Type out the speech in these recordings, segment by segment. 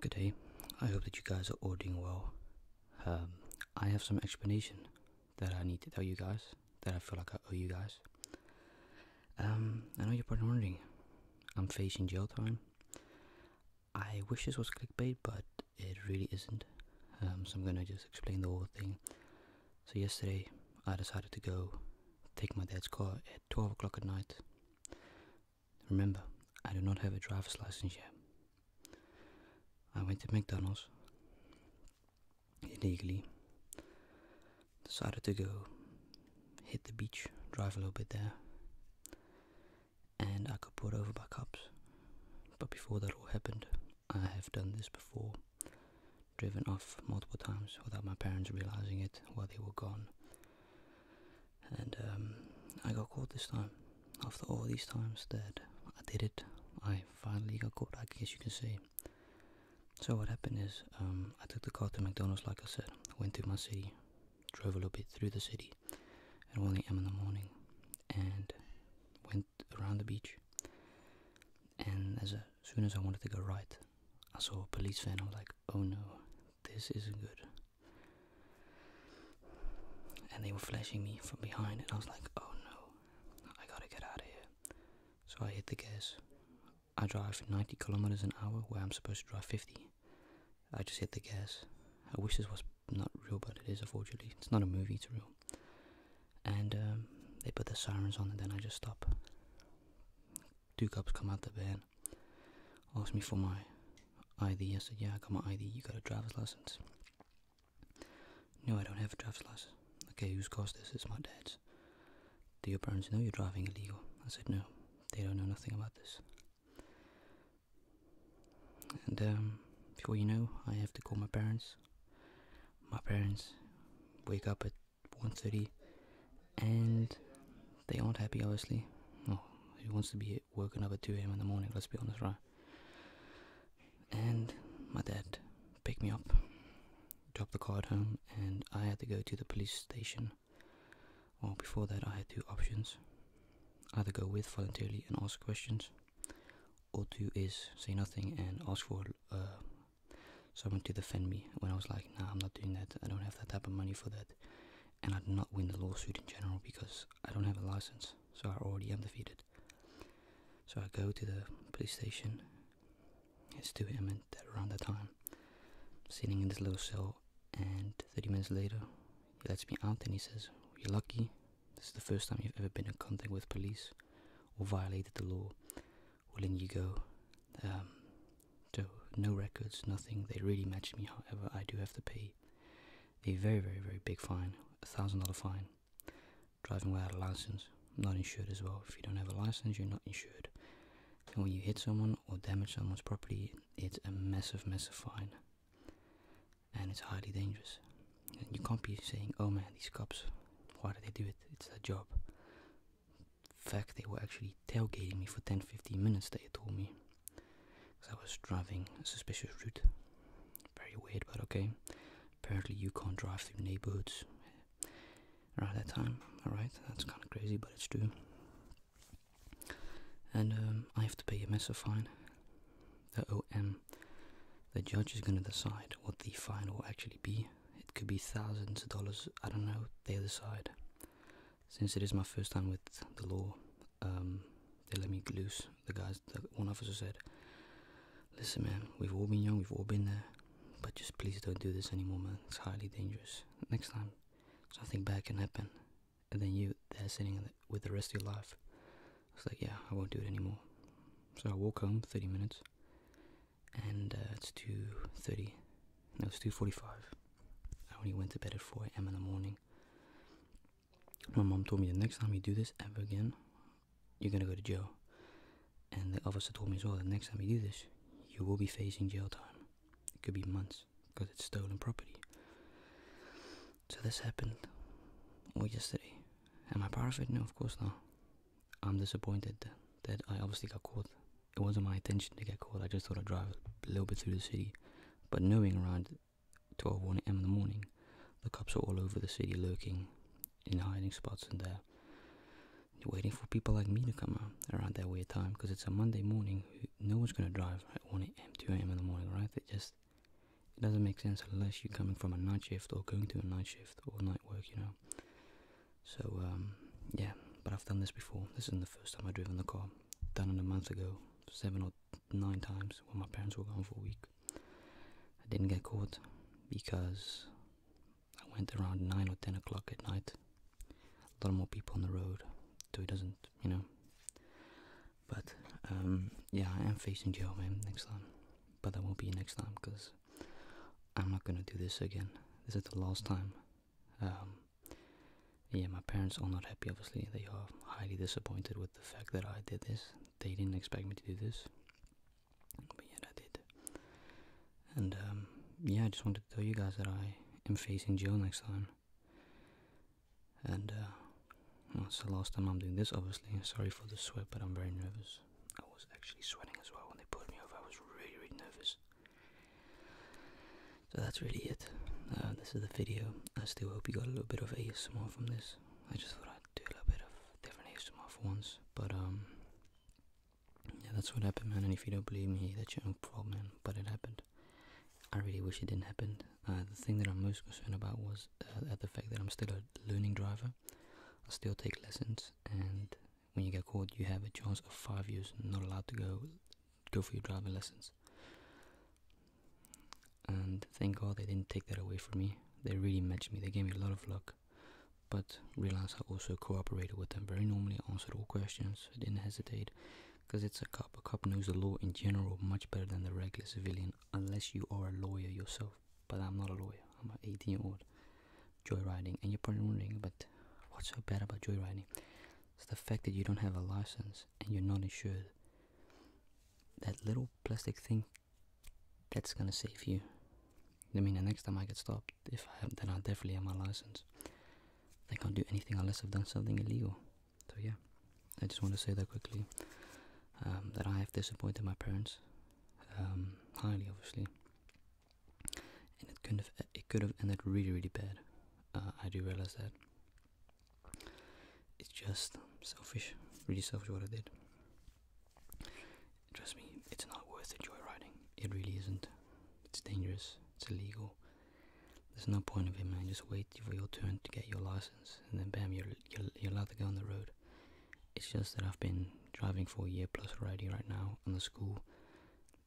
Good day. I hope that you guys are all doing well. Um, I have some explanation that I need to tell you guys that I feel like I owe you guys. Um, I know you're probably wondering. I'm facing jail time. I wish this was clickbait, but it really isn't. Um, so I'm gonna just explain the whole thing. So yesterday, I decided to go take my dad's car at 12 o'clock at night Remember, I do not have a driver's license yet. I went to McDonald's illegally, decided to go hit the beach, drive a little bit there, and I got pulled over by cops. But before that all happened, I have done this before driven off multiple times without my parents realizing it while they were gone and um, I got caught this time. After all these times that I did it, I finally got caught, I guess you can say. So what happened is, um, I took the car to McDonald's like I said, went to my city, drove a little bit through the city at 1 a.m. in the morning and went around the beach. And as soon as I wanted to go right, I saw a police van. I was like, oh no, this isn't good. And they were flashing me from behind, and I was like, oh no, I gotta get out of here. So I hit the gas. I drive 90 kilometers an hour where I'm supposed to drive 50. I just hit the gas. I wish this was not real, but it is unfortunately. It's not a movie, it's real. And um, they put the sirens on, and then I just stop. Two cops come out the van, Asked me for my ID. I said, Yeah, I got my ID. You got a driver's license? No, I don't have a driver's license. Okay, whose car's this? It's my dad's. Do your parents know you're driving illegal? I said, No, they don't know nothing about this. And um, before you know, I have to call my parents. My parents wake up at 1.30 and they aren't happy, obviously. Oh, who wants to be woken up at 2 a.m. in the morning? Let's be honest, right? And my dad picked me up, dropped the car at home, and I had to go to the police station. Well, before that, I had two options either go with voluntarily and ask questions, or two is say nothing and ask for uh, someone to defend me when I was like, nah, I'm not doing that. I don't have that type of money for that and I did not win the lawsuit in general because I don't have a license, so I already am defeated. So I go to the police station. It's 2 a.m. that around the time. Sitting in this little cell, and 30 minutes later, he lets me out and he says, "You're lucky. This is the first time you've ever been in contact with police or violated the law. we you go. Um, so no records, nothing. They really matched me. However, I do have to pay a very, very, very big fine, a thousand dollar fine. Driving without a license, not insured as well. If you don't have a license, you're not insured. And when you hit someone or damage someone's property, it's a massive, massive fine. And it's highly dangerous. And you can't be saying, oh man, these cops, why do they do it? It's their job fact, they were actually tailgating me for 10 15 minutes, they told me. Because I was driving a suspicious route. Very weird, but okay. Apparently, you can't drive through neighborhoods around that time. Alright, that's kind of crazy, but it's true. And um, I have to pay a massive fine. The OM. The judge is going to decide what the fine will actually be. It could be thousands of dollars, I don't know, they decide since it is my first time with the law, um, they let me loose. The guys, one officer said, "Listen, man, we've all been young, we've all been there, but just please don't do this anymore, man. It's highly dangerous. Next time, something bad can happen, and then you there sitting with the rest of your life." I was like, "Yeah, I won't do it anymore." So I walk home, 30 minutes, and uh, it's it's thirty. It was 2.45. I only went to bed at 4 a.m. in the morning. My mom told me the next time you do this ever again, you're gonna go to jail. And the officer told me as well, the next time you do this, you will be facing jail time. It could be months because it's stolen property. So this happened all yesterday. Am I part of it? No, of course not. I'm disappointed that I obviously got caught it wasn't my intention to get caught. I just thought I'd drive a little bit through the city. But knowing around 12, a.m. in the morning, the cops are all over the city lurking in hiding spots and there waiting for people like me to come out around that weird time because it's a Monday morning. No one's going to drive at 1 a.m., 2 a.m. in the morning, right? It just it doesn't make sense unless you're coming from a night shift or going to a night shift or night work, you know. So, um, yeah, but I've done this before. This isn't the first time I've driven the car done it a month ago, seven or nine times when my parents were gone for a week. I didn't get caught because I went around nine or ten o'clock at night. A lot more people on the road, so it doesn't, you know. But um, yeah, I am facing jail, man, next time. But that won't be next time because I'm not gonna do this again. This is the last time um, yeah, my parents are not happy, obviously. They are highly disappointed with the fact that I did this. They didn't expect me to do this. But yeah, I did. And um, yeah, I just wanted to tell you guys that I am facing jail next time. And that's uh, the last time I'm doing this, obviously. Sorry for the sweat, but I'm very nervous. I was actually sweating as well when they put me over. I was really, really nervous. So that's really it. Uh, this is the video. I still hope you got a little bit of ASMR from this. I just thought I'd do a little bit of different ASMR for once. But, um, yeah, that's what happened, man. And if you don't believe me, that's your own problem, man. But it happened. I really wish it didn't happen. Uh, the thing that I'm most concerned about was uh, at the fact that I'm still a learning driver. I still take lessons, and when you get caught, you have a chance of five years not allowed to go go for your driving lessons. And thank God they didn't take that away from me. They really matched me. They gave me a lot of luck. But realize I also cooperated with them very normally, answered all questions, I didn't hesitate. Because it's a cop. A cop knows the law in general much better than the regular civilian, unless you are a lawyer yourself. But I'm not a lawyer, I'm an 18 year old joyriding. And you're probably wondering, but what's so bad about joyriding? It's the fact that you don't have a license and you're not insured. That little plastic thing, that's gonna save you. I mean, the next time I get stopped, if I then I'll definitely have my license. I can't do anything unless I've done something illegal. So yeah, I just want to say that quickly. Um, that I have disappointed my parents um, highly, obviously, and it could have it could have ended really really bad. Uh, I do realize that, it's just selfish, really selfish what I did. Trust me, it's not worth the joyriding. It really isn't. It's dangerous. It's illegal. There's no point of it, man. Just wait for your turn to get your license, and then bam, you're you're, allowed to go on the road. It's just that I've been driving for a year plus already right now on the school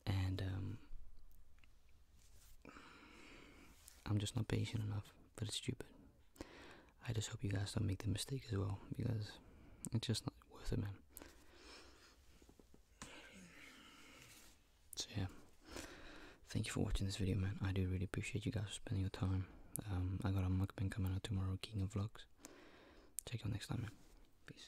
and um, I'm just not patient enough but it's stupid. I just hope you guys don't make the mistake as well because it's just not worth it, man. So yeah, thank you for watching this video, man. I do really appreciate you guys spending your time. Um, I got a mukbang coming out tomorrow, King of Vlogs. Check you out next time, man. Peace.